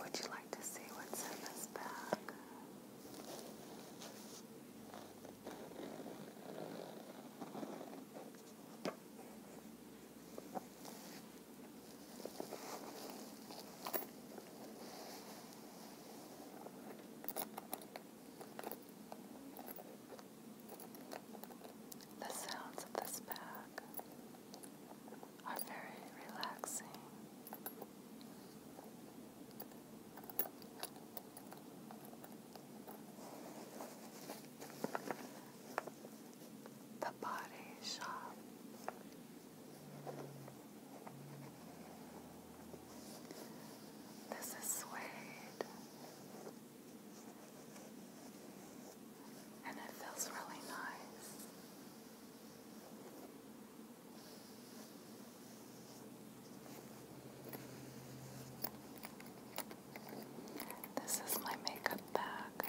Would you like to see what's in this bag? The sounds of this bag are very relaxing. The Body Shop. This is suede, and it feels really nice. This is my makeup bag.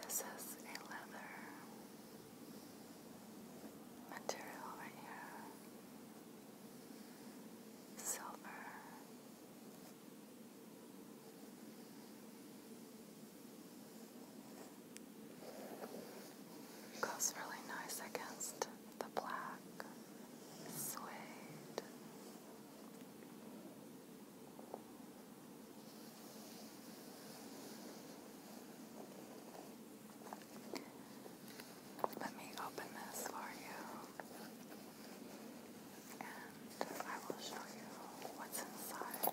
This is a leather material right here. Silver Goes really nice against the black suede. Let me open this for you and I will show you what's inside.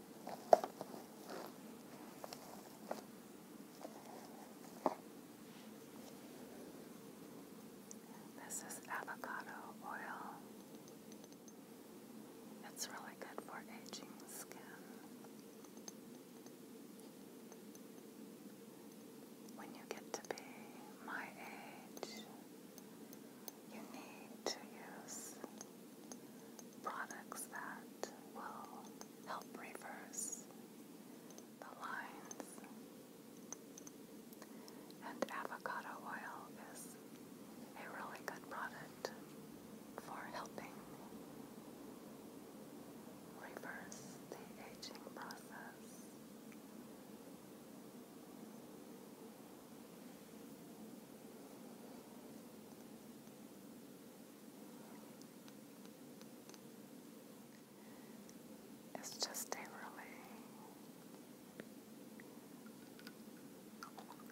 This is avocado oil. It's really good for aging skin. When you get to be my age, you need to use products that will help reverse the lines. And avocado oil is a really good product for helping reverse the aging process. It's just a really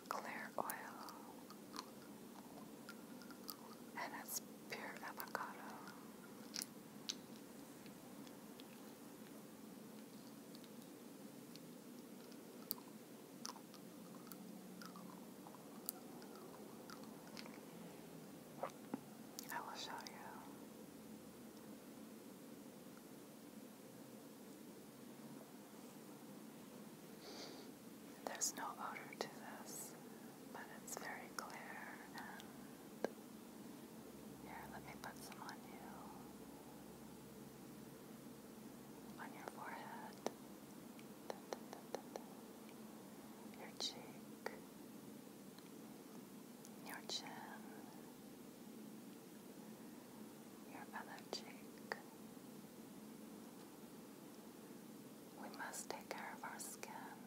clear oil, and it's pure avocado. I will show you. There's no odor to this, but it's very clear here, let me put some on you on your forehead, your cheek, your chin, your other cheek. We must take care of our skin,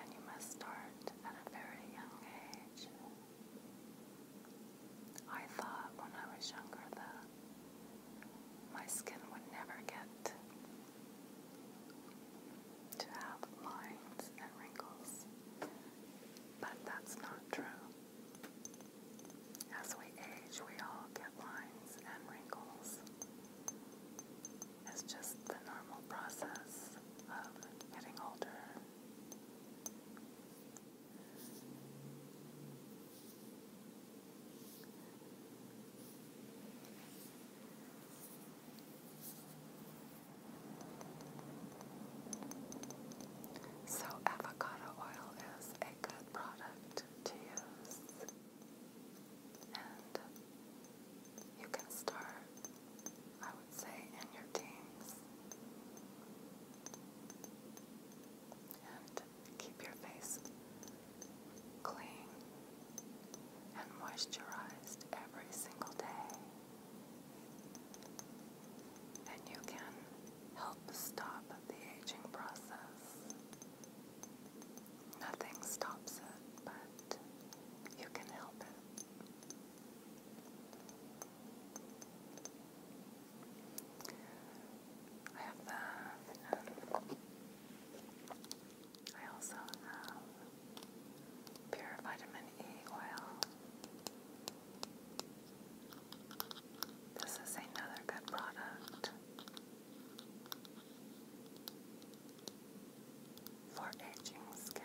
and you must start at a very young age. I thought when I was younger that my skin would never get to have lines and wrinkles, but that's not true. As we age, we all get lines and wrinkles. It's just the normal process of getting older. So, avocado oil is a good product to use, and you can start, I would say, in your teens and keep your face clean and moisturized every single day. And you can help stop the aging process. Nothing stops it, but you can help it. I have that, I also have pure vitamin E oil. This is another good product for aging skin.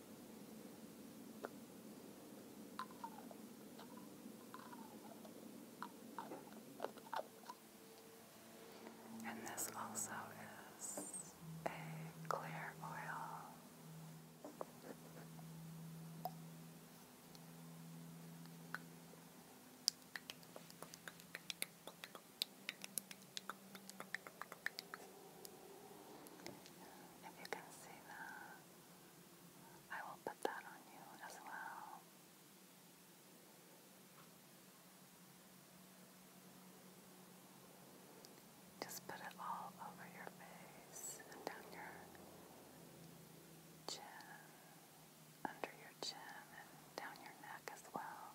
And this also is a clear oil. If you can see that, I will put that on you as well. Just put it all over your face and down your chin, under your chin, and down your neck as well.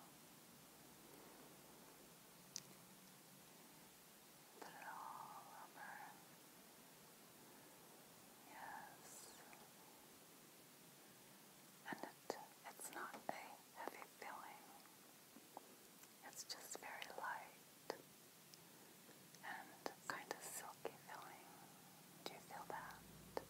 Put it all over. Yes. And it, it's not a heavy feeling. It's just very light and kind of silky feeling. Do you feel that?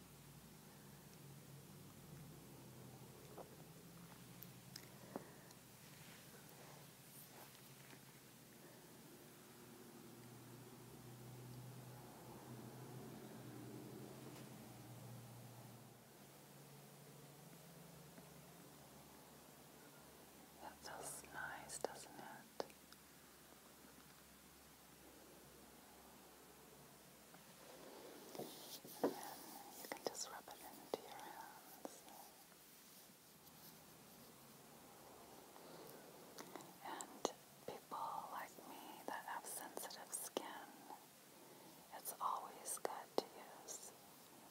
That feels nice, doesn't it? And you can just rub it into your hand. And people like me that have sensitive skin, it's always good to use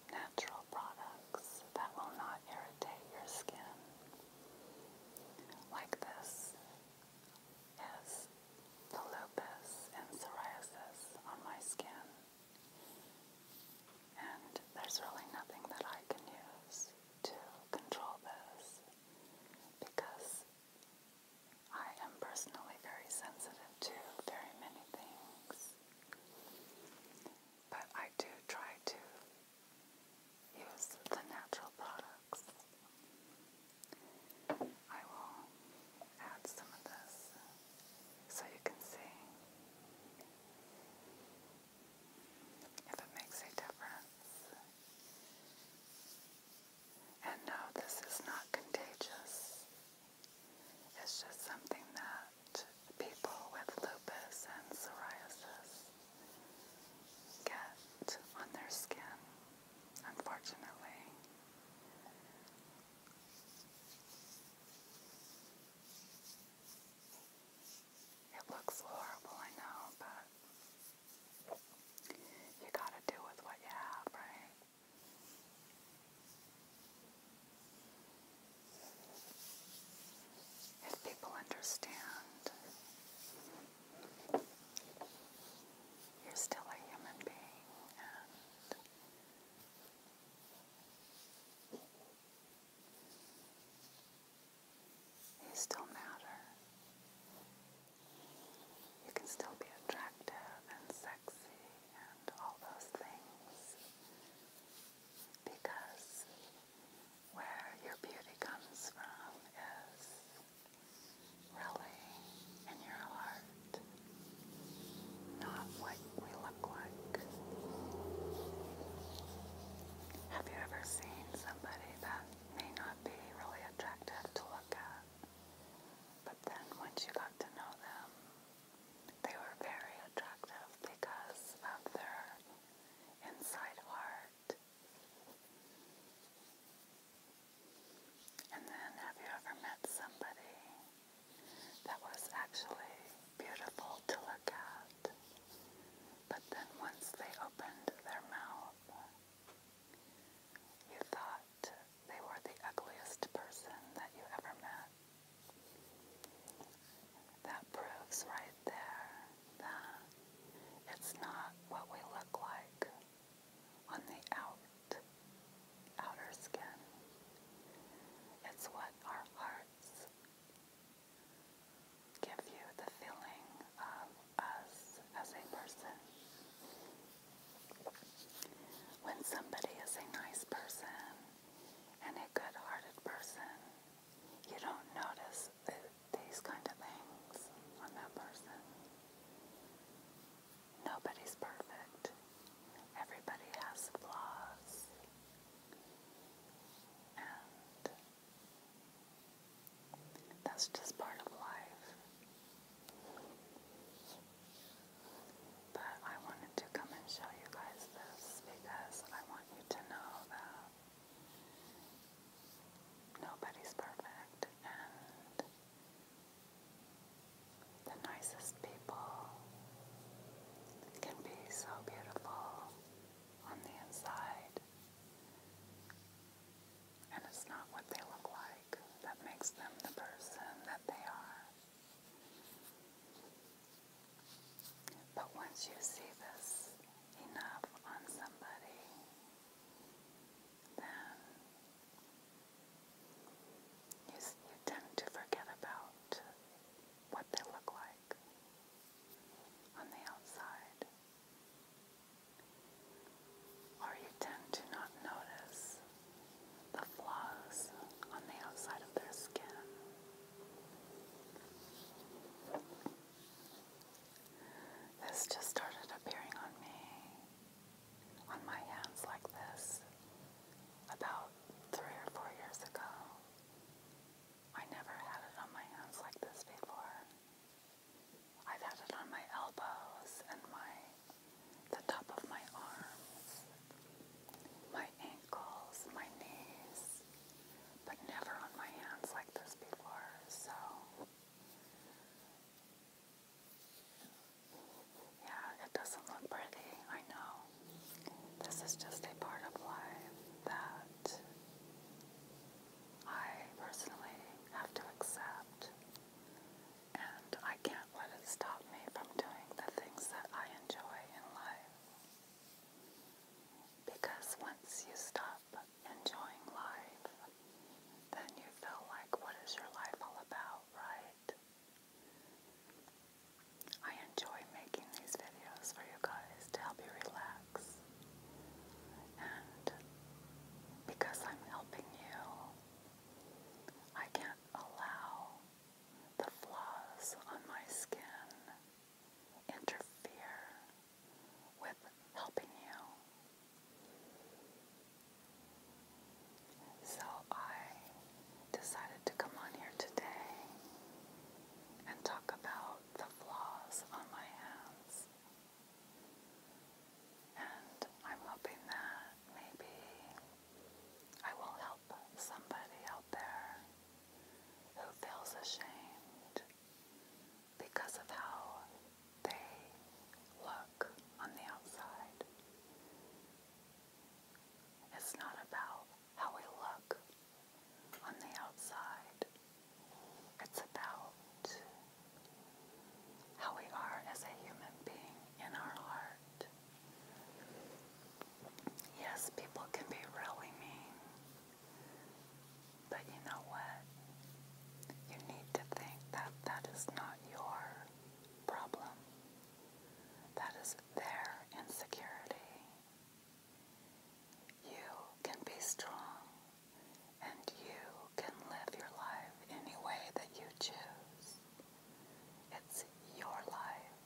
natural products that will not irritate your skin. Like this is the lupus and psoriasis on my skin. And there's really nothing that I can use to control this because I am personally very sensitive to very many things. But I do try to use the natural products. I will add some of this so you can see if it makes a difference. And no, this is not contagious. It's just something that people with lupus and psoriasis get on their skin, unfortunately. It looks horrible, I know, but you gotta do with what you have, right? If people understand, you're still a human being and you still matter. You can still be attractive and sexy and all those things. Because where your beauty comes from is really in your heart not what we look like. Have you ever seen somebody that may not be really attractive to look at, but then once you got to know them, they were very attractive because of their inside heart? And then, have you ever met somebody that was actually beautiful to look at. But then once they opened their mouth, you thought they were the ugliest person that you ever met. That proves right there that it's not what we look like on the out, outer skin. It's what our hearts give you the feeling of us as a person. When somebody is a nice person and a good hearted person, you don't notice these kind of things on that person. Nobody's perfect. Everybody has flaws. And that's just part of life. But I wanted to come and show you guys this because I want you to know that nobody's perfect the nicest people can be so beautiful on the inside. And it's not what they look like that makes them the person that they are. But once you see this enough on somebody, then you, you tend to forget about what they look like on the outside, or you tend to not notice the flaws on the outside of their skin. This just started appearing on me, on my hands like this, about three or four years ago. I never had it on my hands like this before. I've had it on my elbows and my the top of my arms, my ankles, my knees, but never on my hands like this before. So yeah, it doesn't look pretty, I know this is just a part of life that I personally have to accept, and I can't let it stop me from doing the things that I enjoy in life. Because once you stop enjoying life, then you feel like, what is your life all about, right? I enjoy making these videos for you guys to help you relax. And because I'm helping you, I can't allow the flaws on my skin interfere with helping you. So I decided to come on here today and talk about the flaws on my hands. And I'm hoping that maybe I will help somebody out there who feels ashamed because of how they look on the outside. It's not about how we look on the outside. It's about how we are as a human being in our heart. Yes, people can be really mean, but you know what? You need to think that that is not your problem. That is their insecurity. You can be strong and you can live your life any way that you choose. It's your life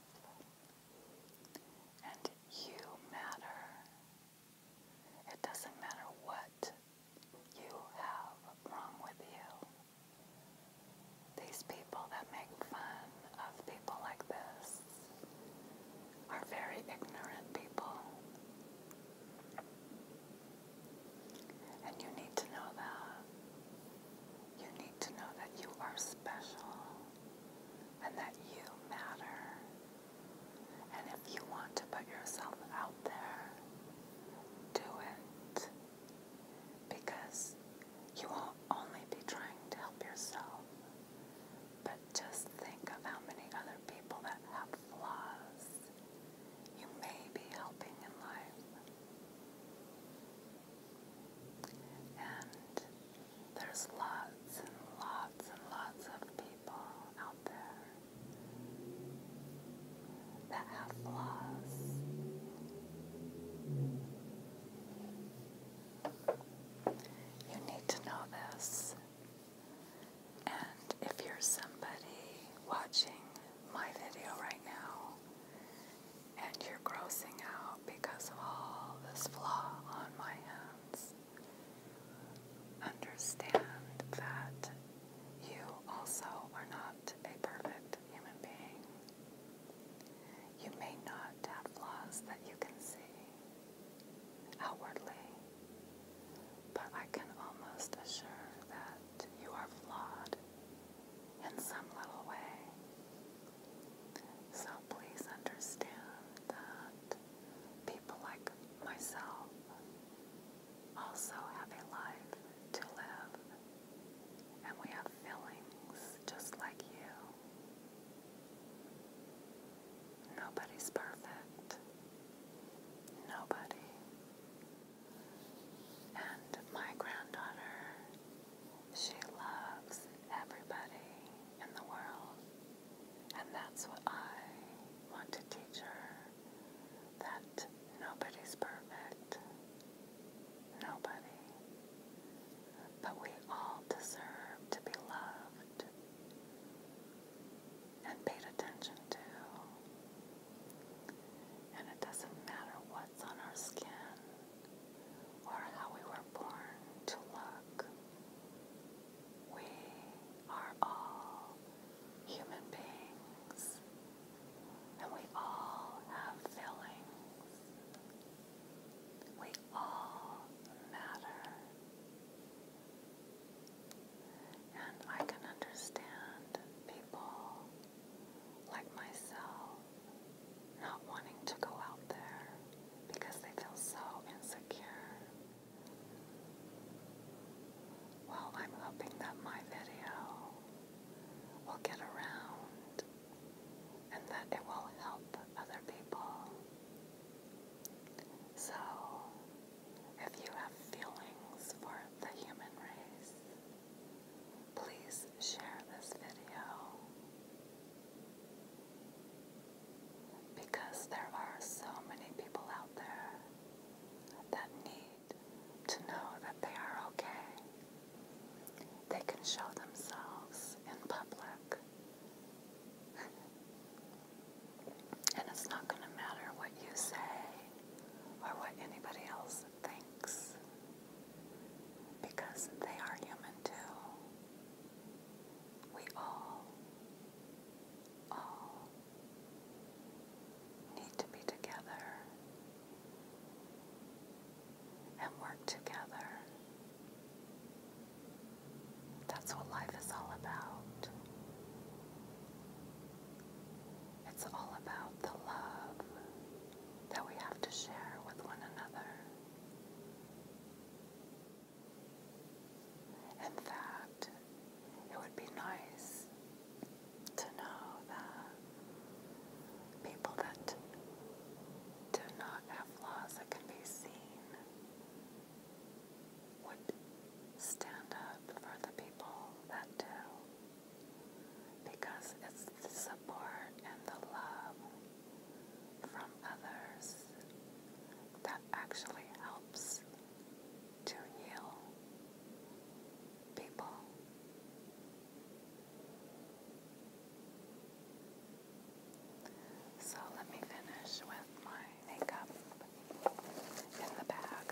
and you matter. It doesn't matter what you have wrong with you. These people that make fun of people like this are very ignorant people. And you need to know that. You need to know that you are special and that you matter. And if you want to put yourself out there, do it. Because you will only be trying to help yourself, but just think of how many other people that have flaws you may be helping in life. And there's lots and lots and lots of people out there that have flaws. You need to know this. And if you're somebody watching my video right now and you're grossing out because of all this flaw on my hands, understand that you also are not a perfect human being. You may not have flaws that you can see outwardly, but I can almost assure that you are flawed in some little way. So please understand that people like myself also have a life to live, and we have feelings just like you. Nobody's perfect. Nobody. And my granddaughter, she loves everybody in the world. And that's what I want to teach her that nobody's perfect. Nobody. But we all deserve to be loved and paid attention to. And it doesn't matter what's on our skin or how we were born to look. We are all human beings and we all have feelings. We all matter. And I can understand people like myself not wanting to go out there because they feel so insecure. Well, I'm hoping that my video will get around and that it will help other people. So, if you have feelings for the human race, please share this video because there are so many people out there that need to know that they are okay. They can show themselves in public and it's not going to matter what you say or what anybody else thinks because they are human too. We all, all need to be together and work together. That's what life is all about. It's all about the love that we have to share with one another. In fact, it would be nice to know that people that do not have laws that can be seen would stand up for the people that do because it's the support and the love from others that actually helps to heal people. So let me finish with my makeup in the bag.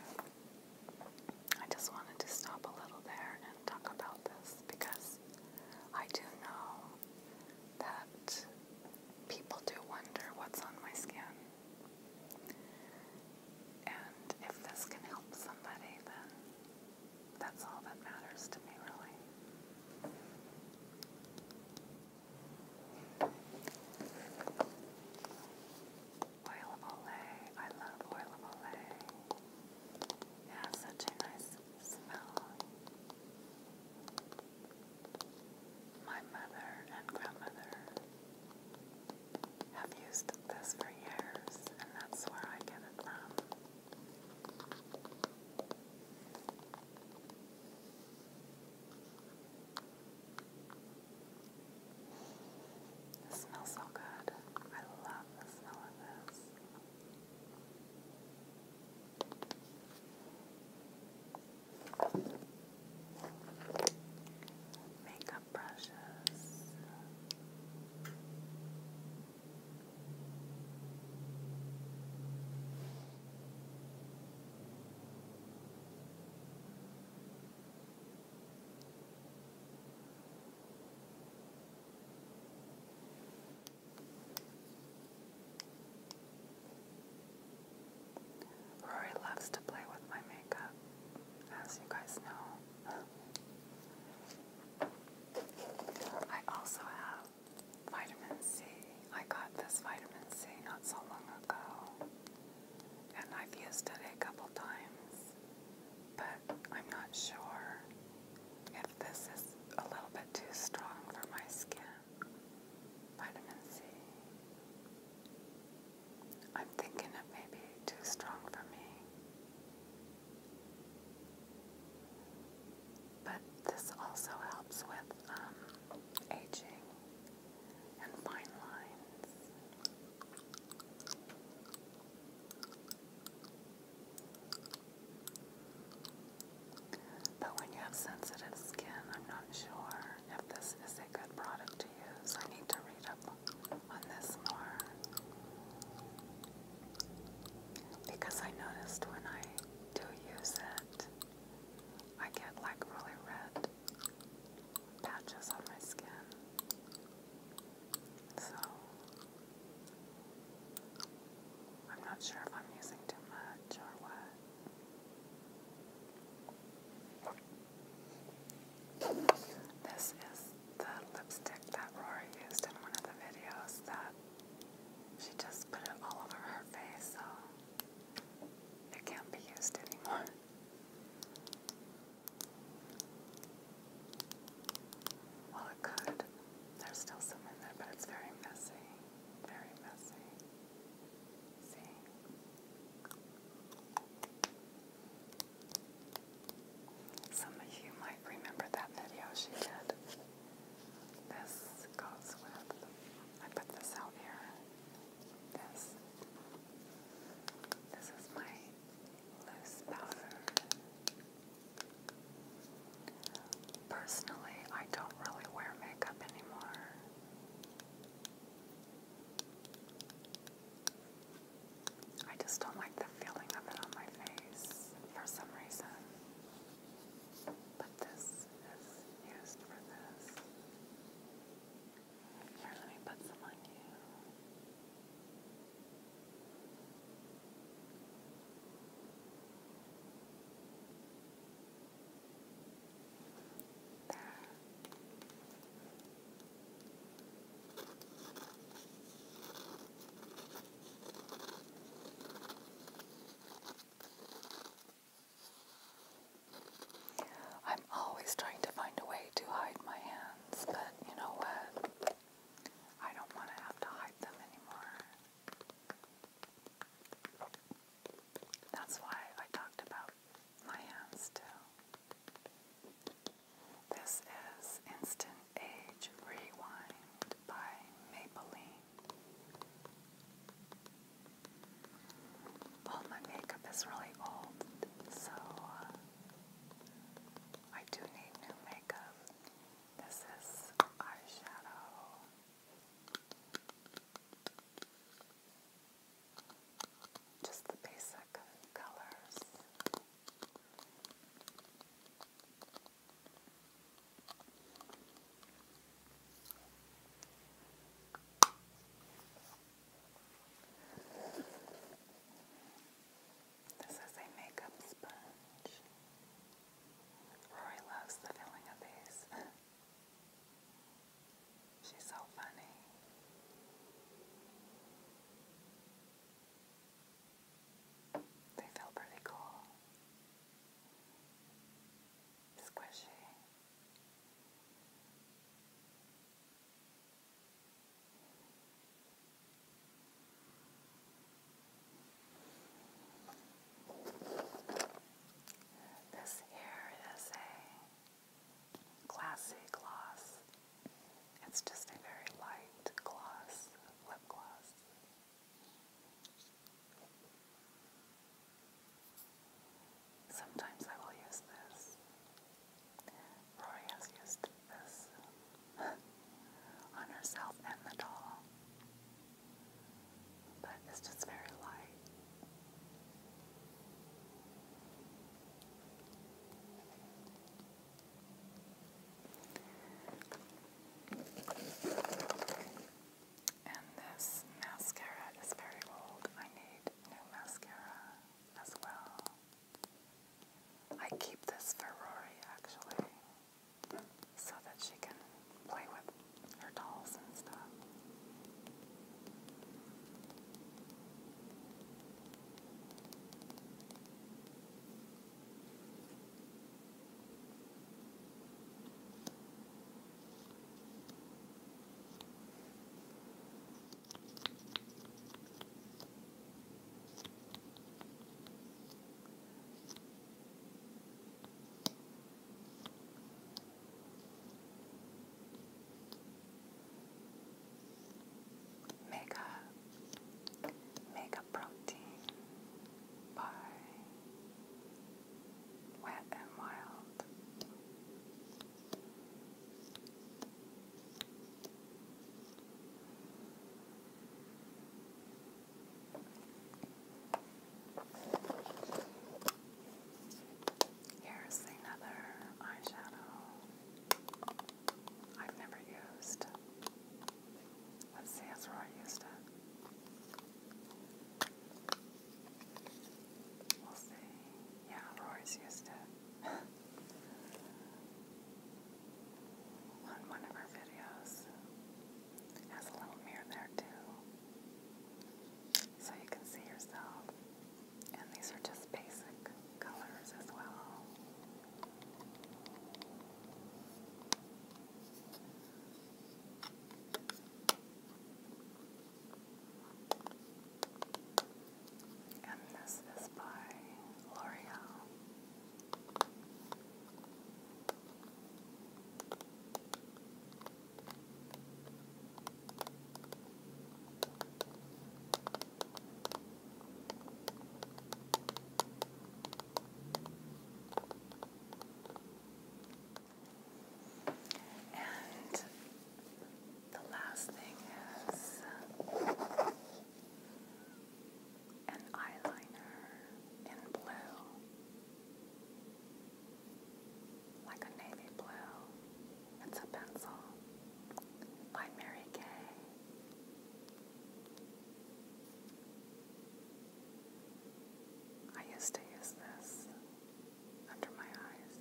I just wanted to stop a little there and talk about this because I do know that people do wonder what's on my skin. And if this can help somebody, then that's all that matters to me, really. Oil of Olay. I love oil of Olay. It has such a nice smell. My mother and grandmother have used this for years, and that's where I get it from smells so good. I love the smell of this. Makeup brushes. Rory loves to play with my makeup, as you guys know. I also have vitamin C. I got this vitamin C not so long ago, and I've used it a couple times, but I'm not sure if this is a little bit too strong for my skin. Vitamin C. I'm thinking it may be too strong for me. But this also helps with um, aging and fine lines. But when you have sensitive skin, I'm not sure if this is a good product to use. I need to read up on this more. Because I noticed when I do use it, I get like really red patches on my skin. So I'm not sure if I'm using too much or what. This is the lipstick that Rory used in one of the videos that she just put it all over her face, so it can't be used anymore. Well, it could. There's still some in there, but it's very messy. Very messy. See? Some of you might remember that video she did. This goes with, I put this out here. This. This is my loose powder. Personally, I don't really wear makeup anymore. I just don't like the feeling of it on my face for some reason. But this is used for this. Here, let me put some on you. There. Now I'm always trying to find a way to hide my hands, but you know what? I don't want to have to hide them anymore. That's why I talked about my hands too. This is Instant Age Rewind by Maybelline. Well, my makeup is really old, so uh, I do need new makeup. This is eyeshadow. Just the basic colors. This is a makeup sponge. Rory loves the feeling of these. She's so funny. They feel pretty cool squishy. This here is a classy gloss. It's just a very light gloss, lip gloss. Sometimes I will use this. Rory has used this on herself and the doll. But it's just very light. And this mascara is very old. I need new mascara as well. I keep this for Rory actually, so that she can play with her dolls and stuff. Mega Mega Protein by wet and wild. Here's another eyeshadow I've never used. Let's see, that's where used it. We'll see. Yeah, Rory's used it on one of her videos. has a little mirror there too. So you can see yourself. And these are just basic colors as well. And this is by L'Oreal. And the last thing is an eyeliner in blue, like a navy blue. It's a pencil by Mary Kay. I used to use this under my eyes,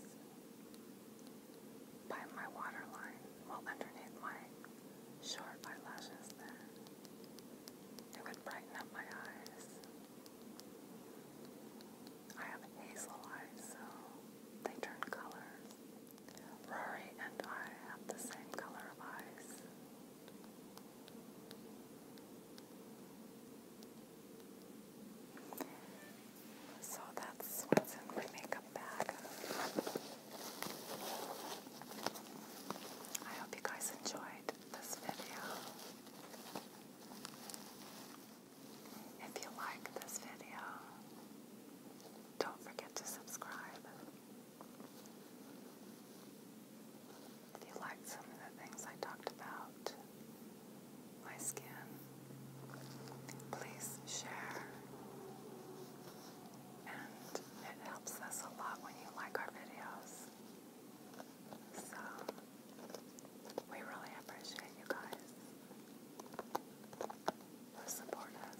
by my waterline, well underneath my short eyelashes there. It would brighten up my eyes. I have hazel eyes, so they turn colors. Rory and I have the same color of eyes. So that's what's in my makeup bag. I hope you guys enjoyed this video. If you like this video, don't forget to subscribe. If you liked some of the things I talked about, my skin, please share. And it helps us a lot when you like our videos. So, we really appreciate you guys who support us.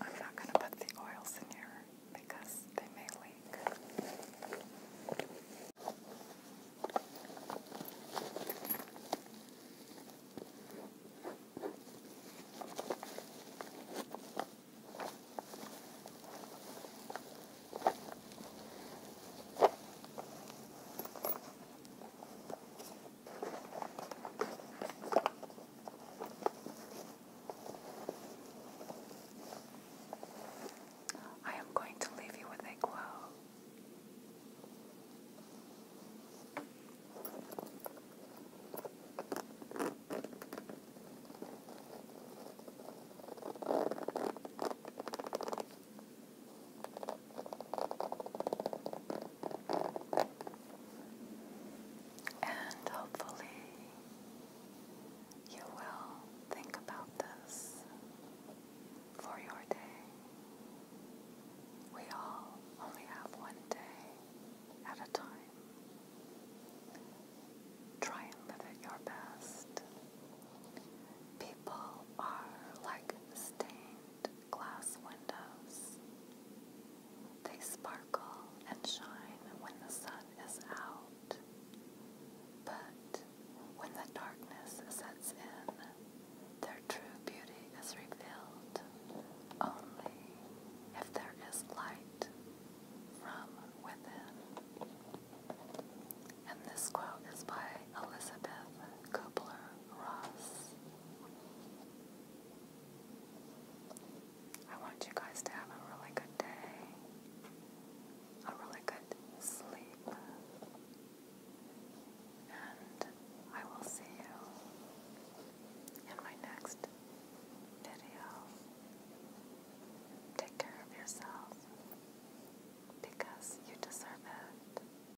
I'm not going to put the oils in here because they may leak. I am going to leave you with a quote. And hopefully, you will think about this for your day. We all only have one day at a time. Try and live at your best. People are like stained glass windows. They sparkle and shine when the sun is out, but when the darkness sets in, their true beauty is revealed only if there is light from within. And this quote is by Elizabeth Kubler Ross. I want you guys to have a really good day, a really good sleep, and I will see you in my next video. Take care of yourself because you deserve it.